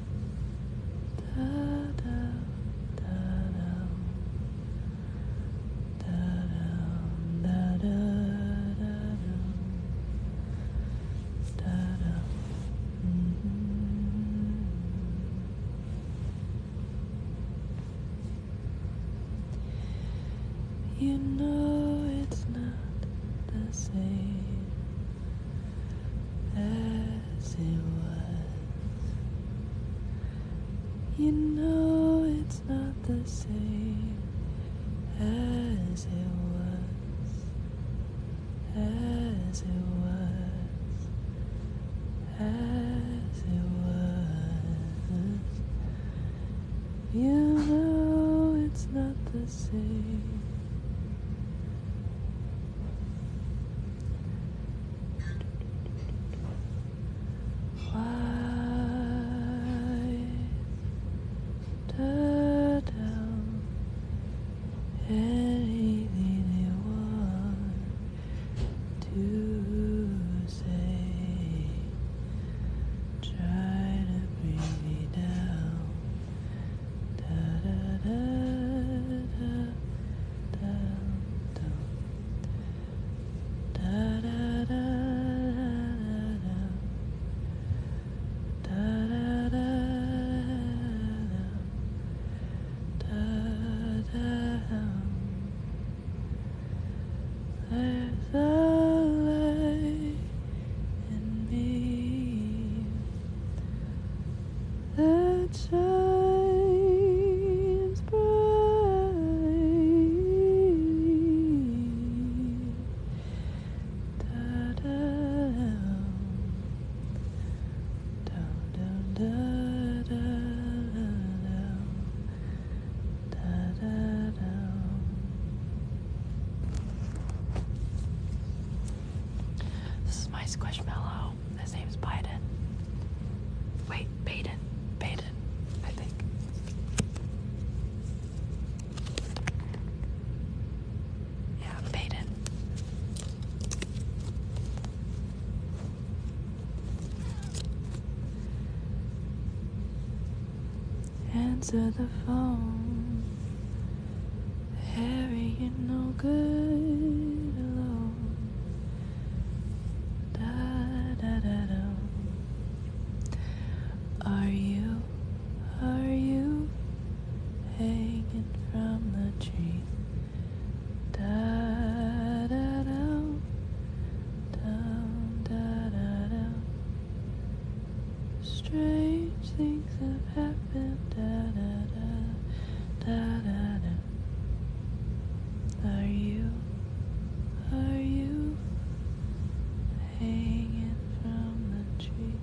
da da da da da da da da da da mm -hmm. You know it's not the same as it was. You know it's not the same as it was, as it was, as it was. You know it's not the same. Lie down anything you want to say. Try to bring me down. Da da da da. There's a light in me that shines bright. Da da da da da da da da da. This is my squishmallow. His name's Biden. Wait, Biden, Biden, I think. Yeah, Baden. Answer the phone. Harry, you're no good alone. Da, da, da, da. Are you, are you hanging from the tree? Da, da, da, da, da, da, da. Strange things have happened. Da, da, da, da, da, da. Are you, are you hanging from the tree?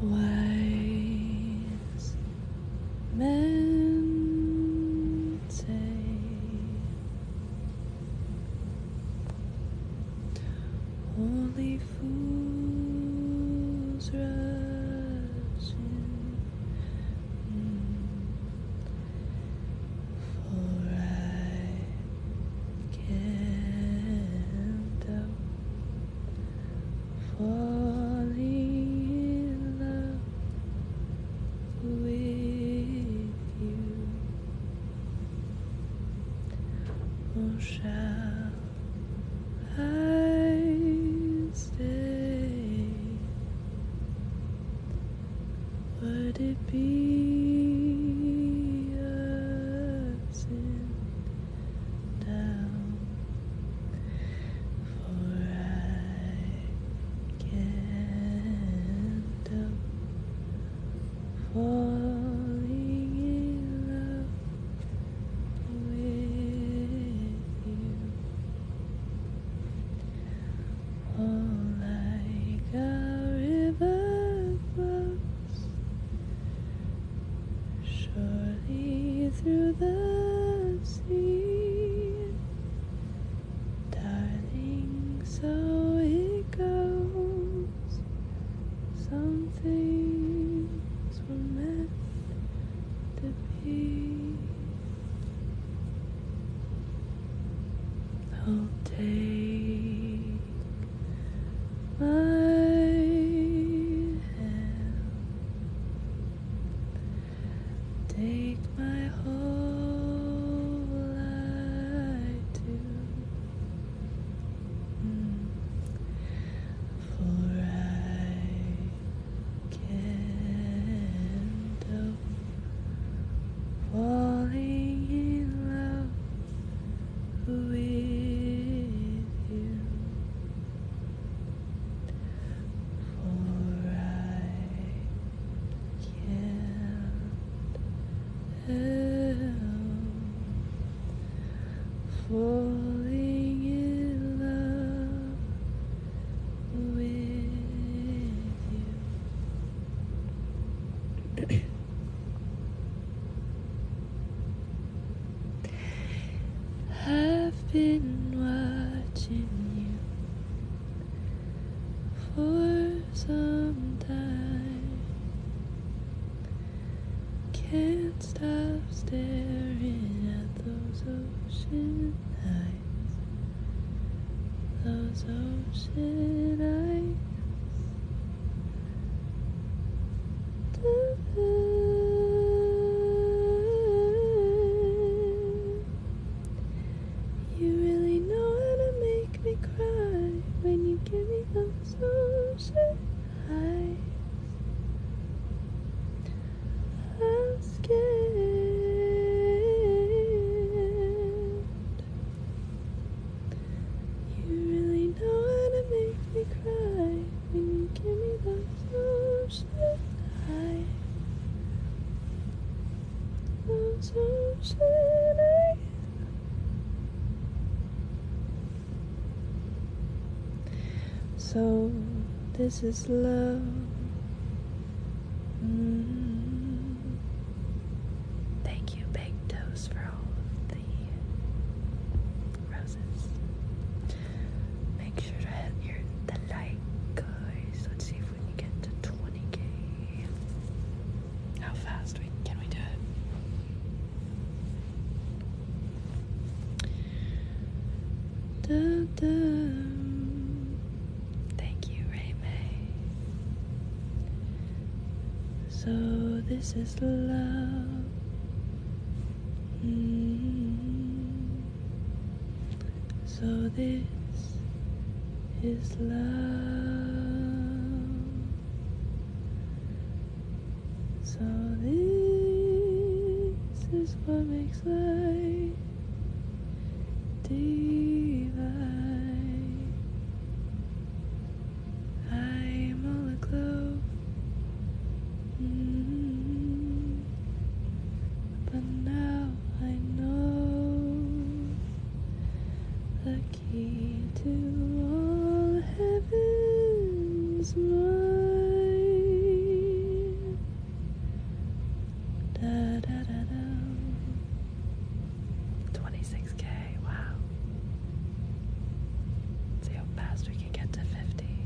Wise Men say Only fools rush in. For I can't help falling in love with you. Or shall I stay? Would it be a sin? down, for I can't help falling in love with you. Oh, like a river flows surely through the sea. Darling, so it goes. Some things were meant to be. I'll take my hand Take my whole life to mm, for I can't help falling in love with you for I can't help falling in love with you. I've been watching you for some time. Can't stop staring at those ocean eyes. Those ocean eyes. You really know how to make me cry when you give me those ocean eyes. I'm scared. You really know how to make me cry when you give me those so this is love. Mm. Thank you, Big Toes, for all the roses. Make sure to hit the like, guys. Let's see if we can get to 20k. How fast we can we do it? Thank you, Ray So this is love. Mm-hmm. So this is love. So this is what makes life divine. I'm all aglow Mm-hmm. but now I know the key to all heaven's mine. Da da da da. 26k, wow. See how fast we can get to 50.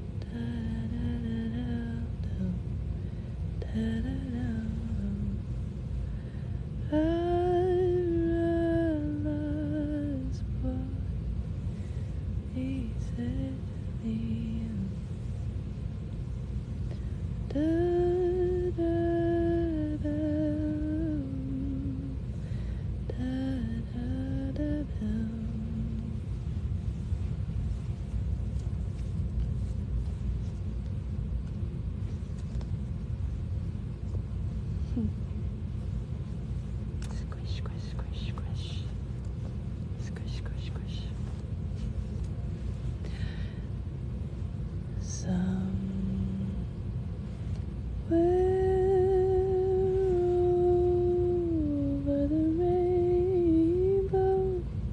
I realize what he said at the end. Da, da, da, da, da, da, da squish, squish, squish, squish. Squish, squish, squish. Somewhere over the rainbow down,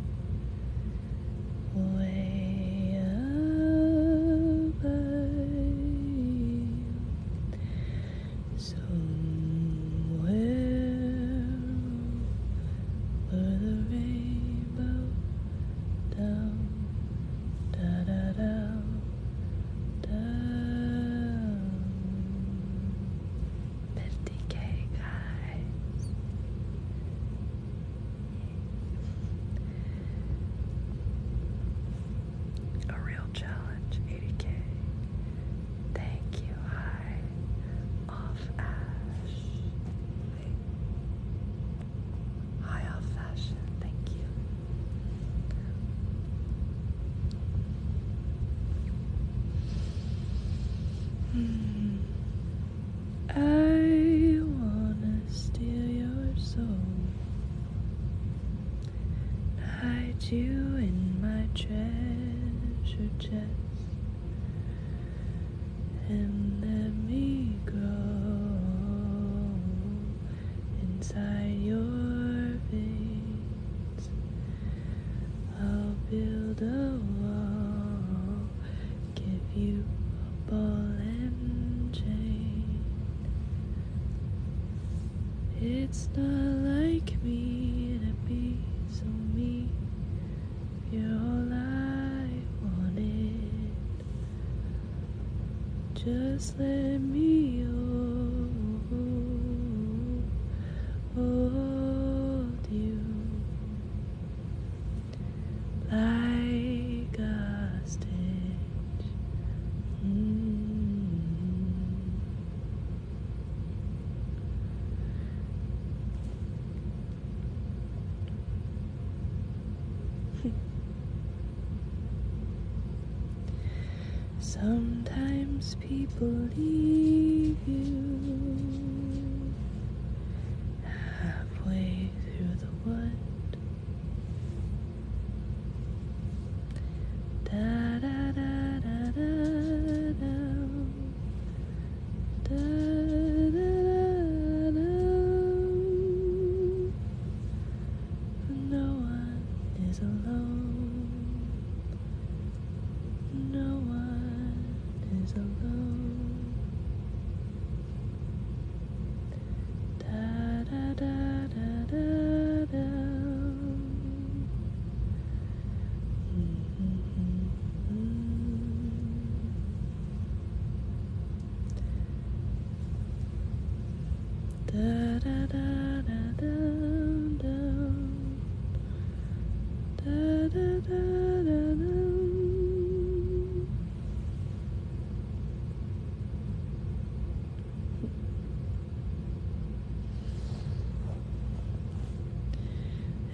way up somewhere over the rainbow, down, da da down, down. 50k, guys. A real challenge, 80k. Thank you, hi. Off Ash. Hi, Off Fashion. Thank you. Hmm. I wanna steal your soul, hide you in my treasure chest, and let me grow inside your veins. I'll build a wall, give you a ball and chain. It's not like me to be so mean. You're all I wanted. Just let me. Hold you like a stitch. Hmm. Sometimes people leave you halfway through the wood. Da da da da da da da da da No one is alone. No one is alone. Da da da da da da. Da da da da da da.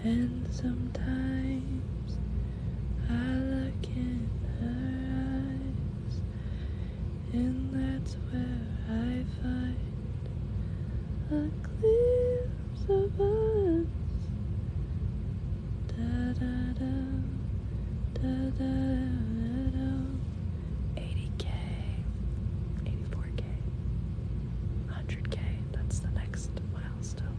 And sometimes I look in her eyes, and that's where I find a clue arms of us. Da 80k, 84k, 100k. That's the next milestone.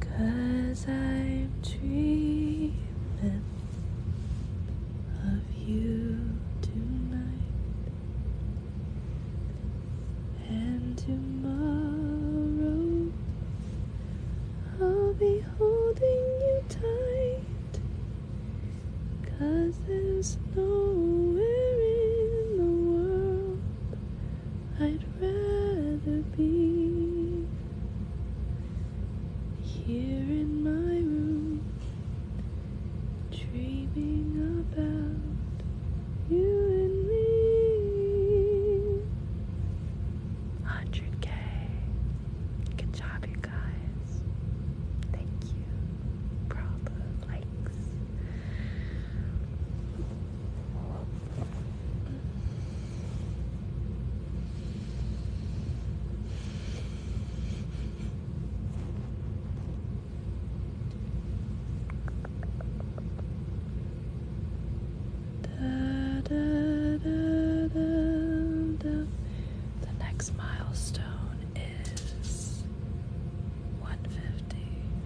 Cause I'm dreaming of you tonight and tomorrow I'll be holding you tight Cause there's nowhere in the world I'd rather be here in my room, dreaming about you and me. 100k. Good job, you guys. Thank you for likes. Da, da, da, da, da. The next milestone is 150.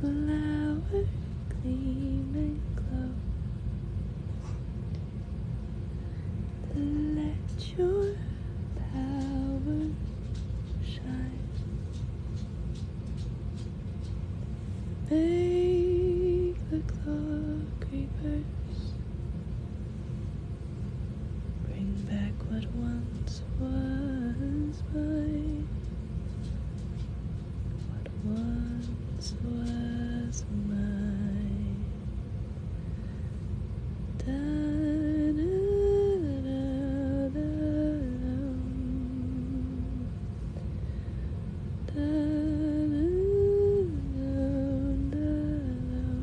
Flowers clean and glow. Let your power shine. Make the clock creepers bring back what once once was mine, what once was mine. Da, da, da, da, da, da. Da, da, da,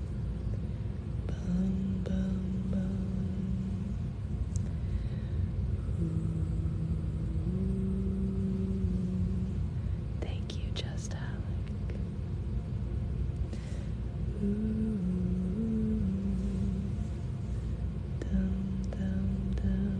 Bum, bum, bum. Ooh. Thank you, Just Alec. Ooh. Dum, dum, dum.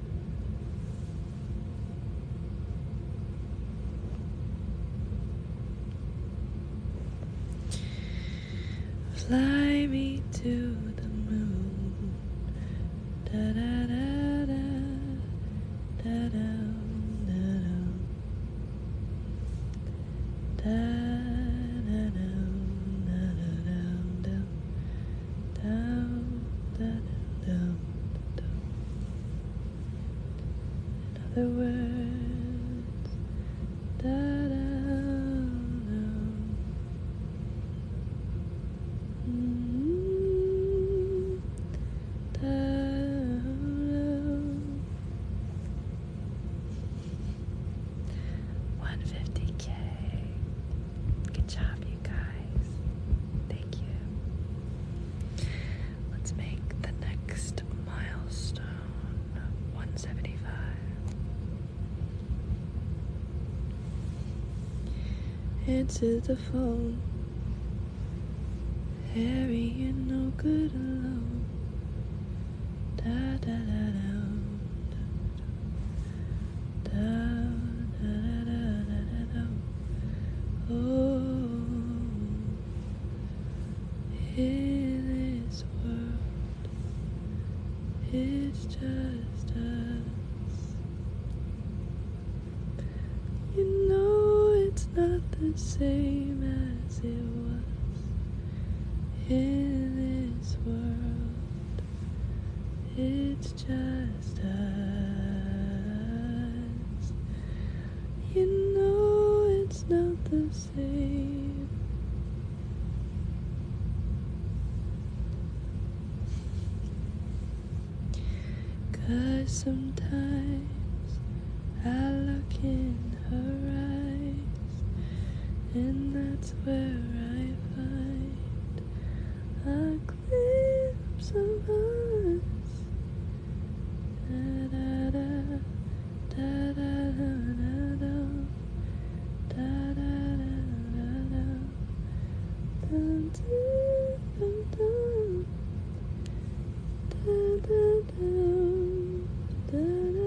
Fly me to the moon. Da da da da da da da da da da da da da da da down, down, down, down. In other words, da down, -hmm. down. 150k Good job, you guys. Thank you. Let's make the next milestone 175. Answer the phone. Harry, you no good alone. Da da da da. Da, da, da, da, da, da, Oh, in this world, it's just us. You know it's not the same as it was. In this world, it's just as You know it's not the same. Cause sometimes I look in her eyes, and that's where I find a lips of us. Da da da da da da da da da da da dun dun dun da da da da da da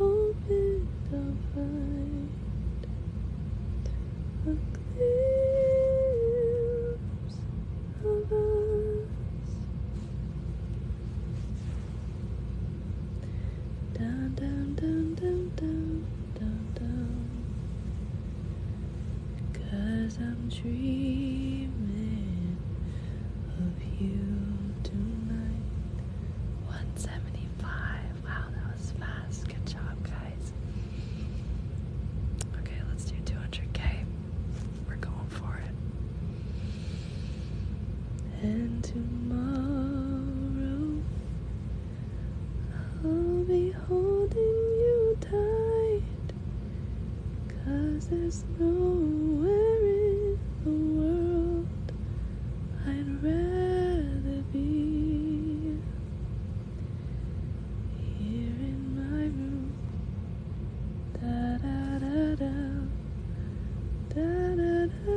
Hoping I'll find a glimpse Down, down, down, down, down, down, down. Cause I'm dreaming of you tonight. 175. Wow, that was fast. Good job, guys. Okay, let's do 200k. We're going for it. And tomorrow I'll be holding you tight. Cause there's nowhere in the world I'd rather be here in my room. Da da da da da da da. da.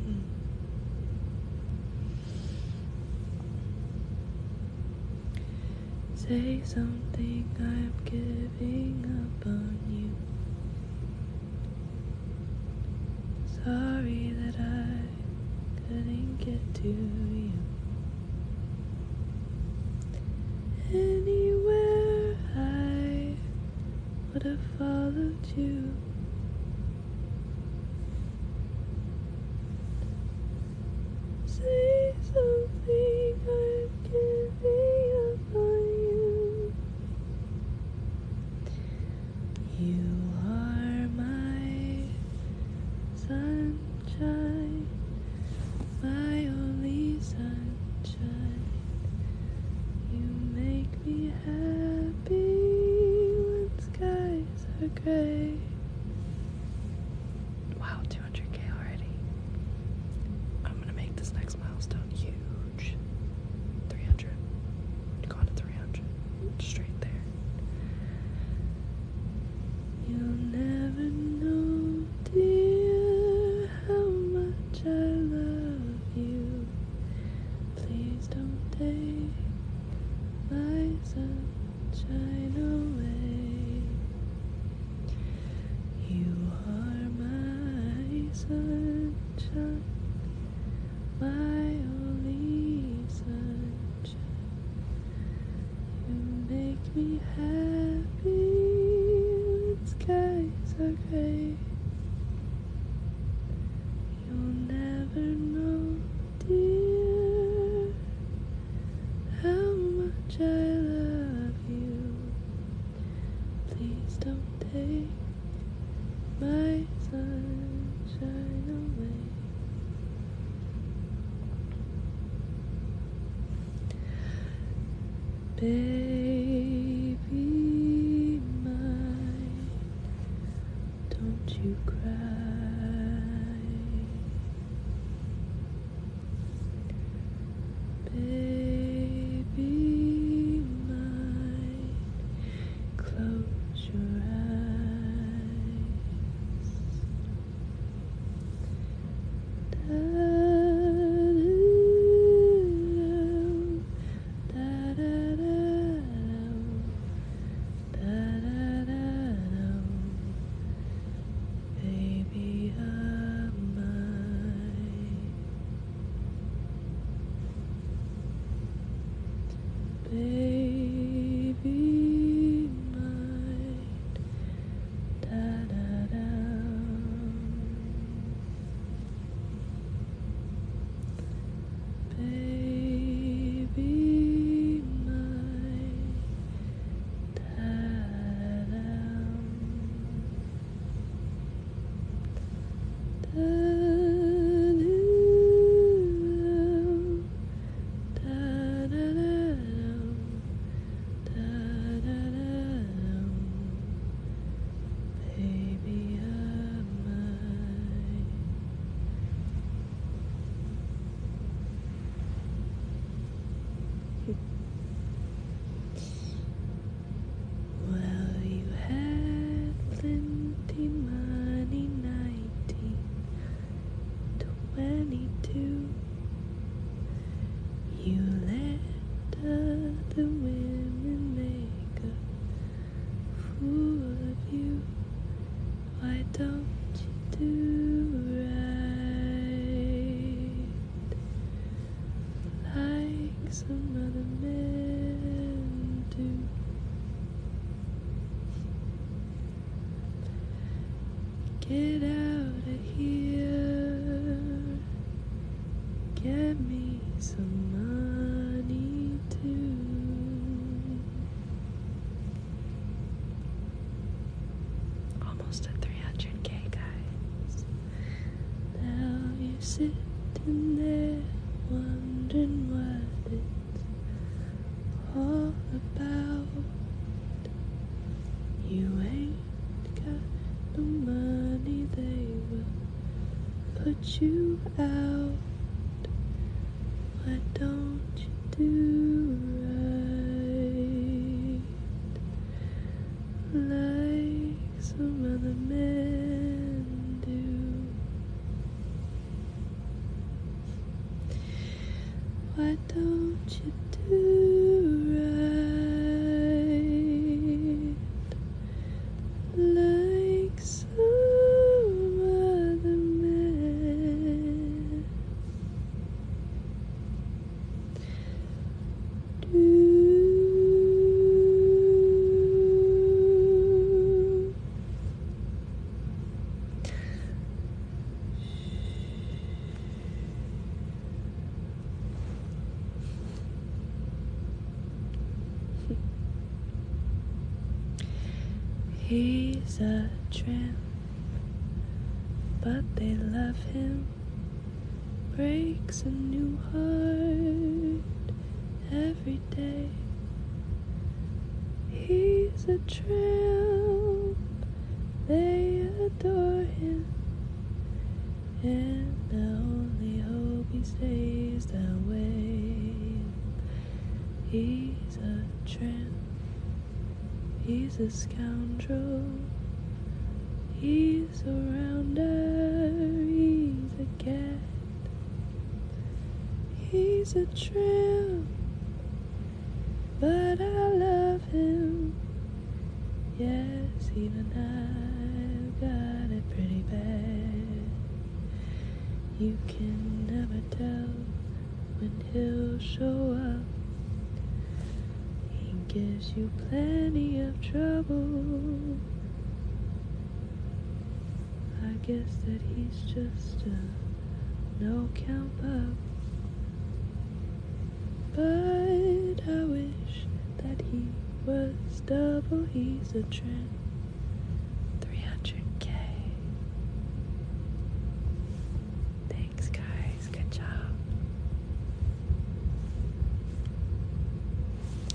Hmm. Say something, I'm giving up on you. Sorry that I couldn't get to you. Anywhere I would have followed you. Say something i can be up you. You are my sunshine, my only sunshine. You make me happy when so great. Wow, 200k already. I'm gonna make this next milestone huge. 300. Gone to 300. Straight there. You'll never know, dear, how much I love you. Please don't take my sunshine away. You are my sunshine, my only sunshine. You make me happy when skies are gray. You'll never know, dear, how much I love you. Please don't take my sunshine away. Baby, mine, don't you cry, baby mine. Close your eyes. da da da da da da Da, da, da, Baby of mine, baby mine, da da da baby mine. Ta-da. Ta-da. Baby, am mine well, you had plenty money, nineteen twenty-two. You let other women make a fool of you. Why don't you do right like some other men do? Get out of here, get me some money too. Almost at 300k, guys. Now you're sitting there wondering what it's all about. You ain't got no money, they will put you out. Why don't you do right like some other men do? Why don't you do right like some other men? He's a tramp. But they love him, breaks a new heart every day. He's a tramp, they adore him, and the only hope he stays that way. He He's a tramp. He's a scoundrel. He's a rounder. He's a cat. He's a tramp. But I love him. Yes, even I've got it pretty bad. You can never tell he'll show up. He gives you plenty of trouble. I guess that he's just a no count pup. But I wish that he was double. He's a trend. 300k. Thanks, guys. Good job.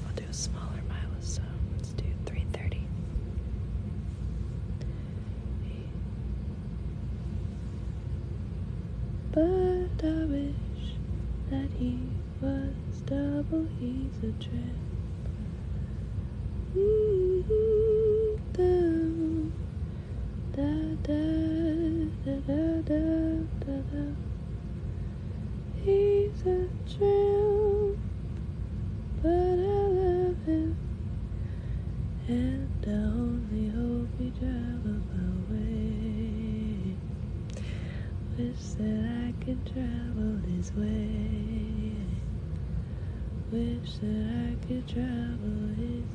I'll do a smaller milestone. Let's do 330. But I wish that he was double. He's a trip. He's a dream, but I love him, and I only hope he travels my Wish that I could travel his way. Wish that I could travel with.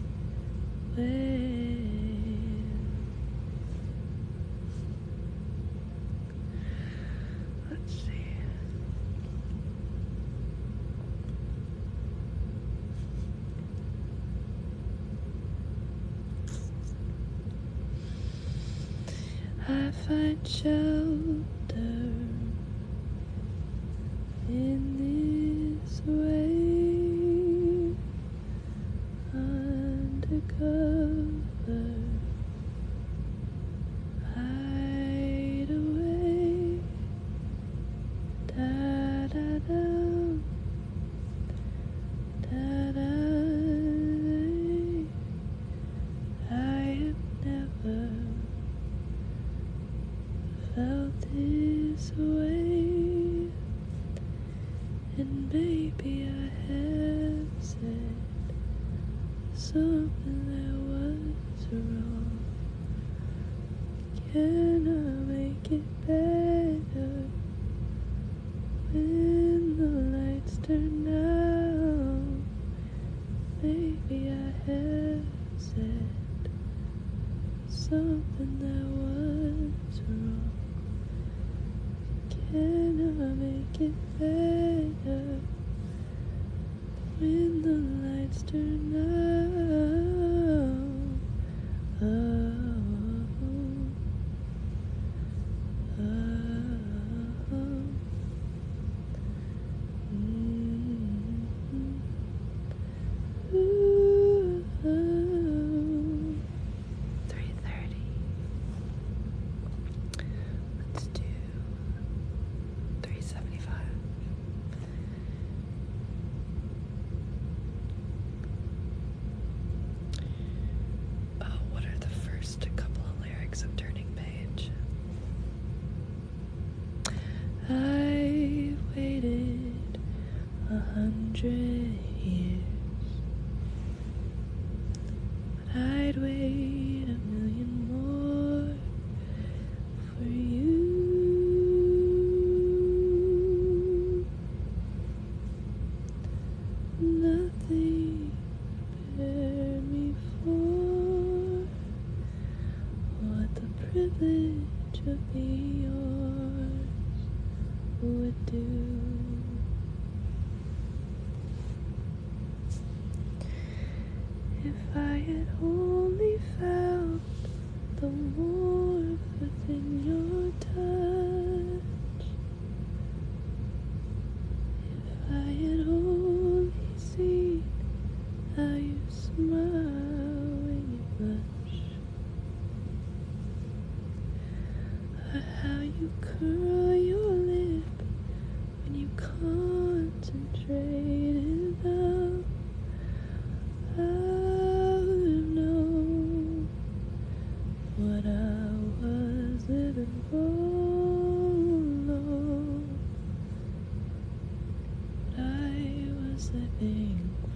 Let's see. I find shelter in this way undercover hide away da da da da da I am never felt this way, and maybe I have said something that was wrong. Can I make it better when the lights turn out? Maybe I have said something that was wrong. Can I make it better when the lights turn out? Oh, oh, oh. mm-hmm. Ooh, Three thirty. Let's do three seventy five. Oh, what are the first couple of lyrics of Turning Page? I waited a hundred years, but I'd wait a million more for you. Nothing prepare me for what the privilege of being yours would do. If I had only felt the warmth within your touch, if I had only seen how you smile how you curl your lip when you concentrate it out. I know what I was living for. I was living for.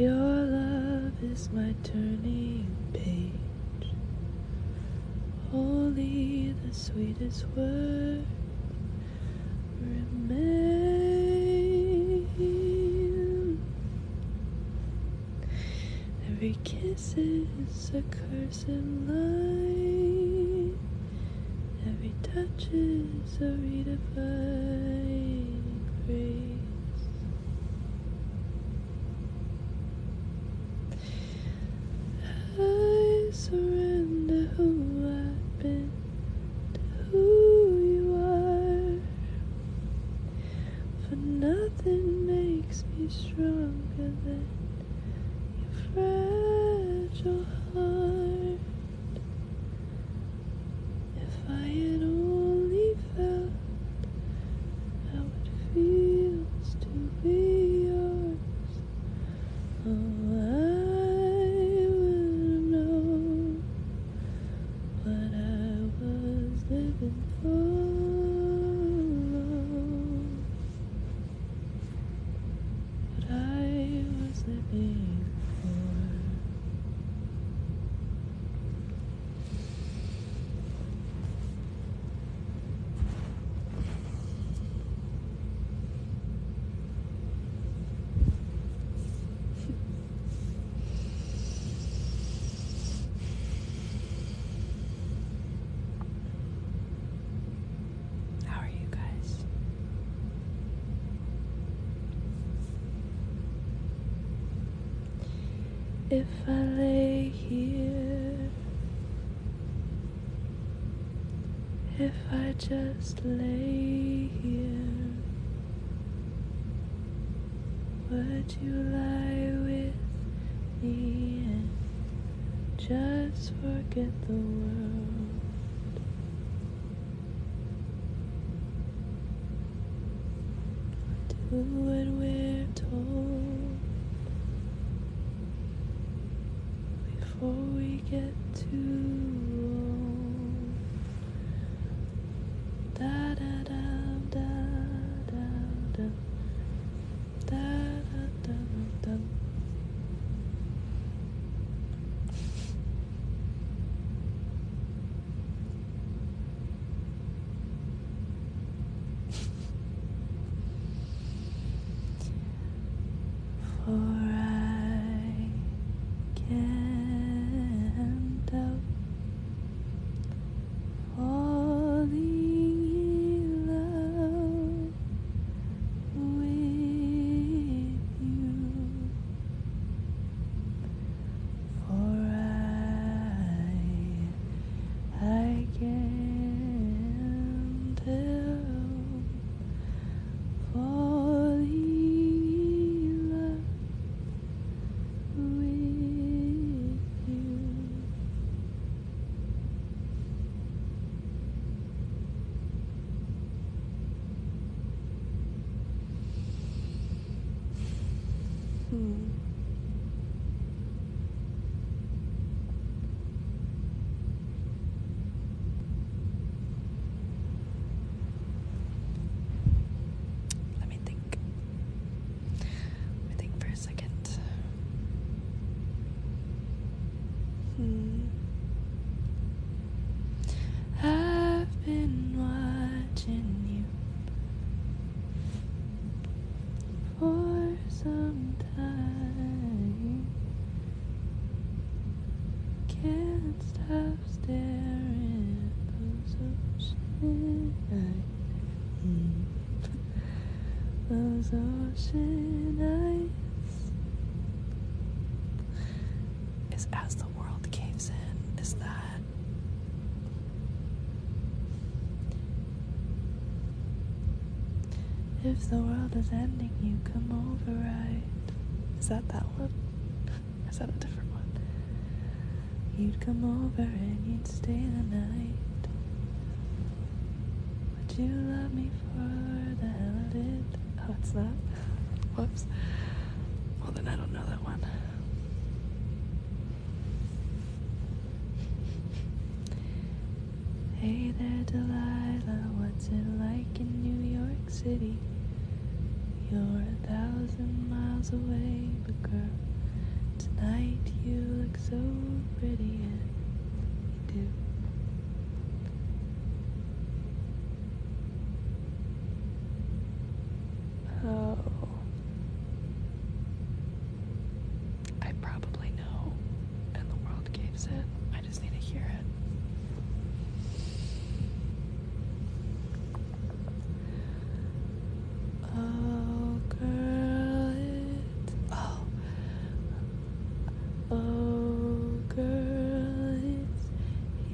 Your love is my turning page, only the sweetest words remains. Every kiss is a curse in light. Every touch is a redefined grace. I surrender who I've been to who you are. For nothing makes me stronger than your fragile heart. If I had only felt how it feels to be yours, oh, I would know what I was living for but I was living for. How are you guys? If I lay here, if I just lay here. Would you lie with me and just forget the world? Do what we're told before we get too old. Da da da da da da da, da, da, For I can't help falling in love with you. For I, I can't help falling in love with you. Hmm. Let me think. I think for a second. Hmm. I've been watching you for some time. Can't stop staring those ocean eyes. Those ocean eyes. Is as the world caves in, is that if the world is ending, you come over right? Is that that one? Is that a different one? You'd come over and you'd stay the night. Would you love me for the hell of it? Oh, it's not? Whoops. Well, then I don't know that one. Hey there, Delilah, what's it like in New York City? You're a thousand miles away, but girl, Tonight you look so pretty and you do. Oh. I probably know, and the world gives it. I just need to hear it. Oh, girl, Oh, oh, girl, it's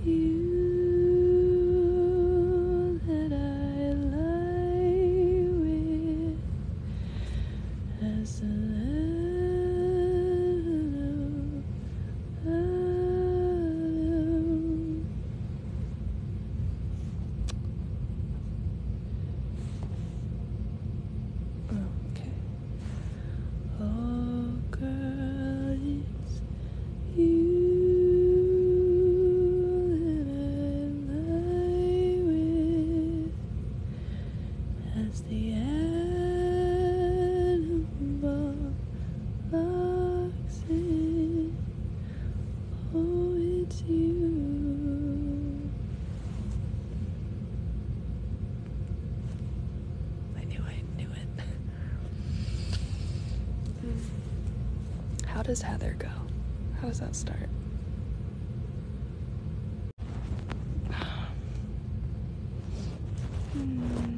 you that I lie with as the Adam, Adam. Okay. Oh, girl, it's you that I lie with as the animal locks Oh, it's you. I knew I knew it. How does Heather go? How does that start? hmm.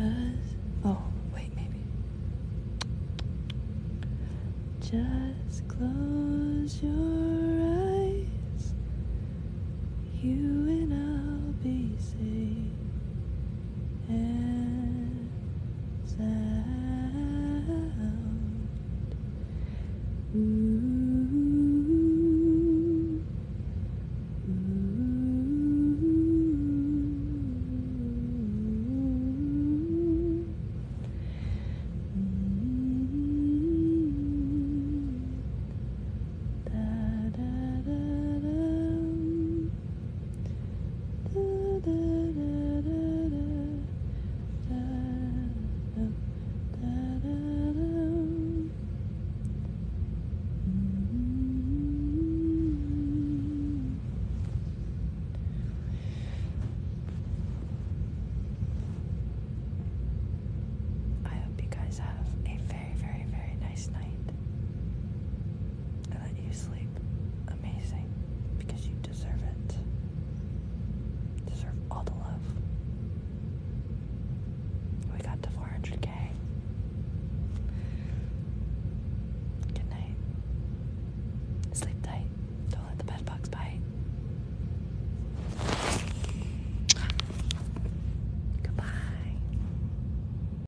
Cause, oh, wait, maybe. Just close your eyes. You and I'll be safe. And out. Ooh. Ooh. Mm -hmm. da, da, da, da. I hope you guys have a very, very, very nice night that you sleep amazing because you deserve it. deserve all the love. We got to 400k. Good night. Sleep tight. Don't let the bed bugs bite. Goodbye.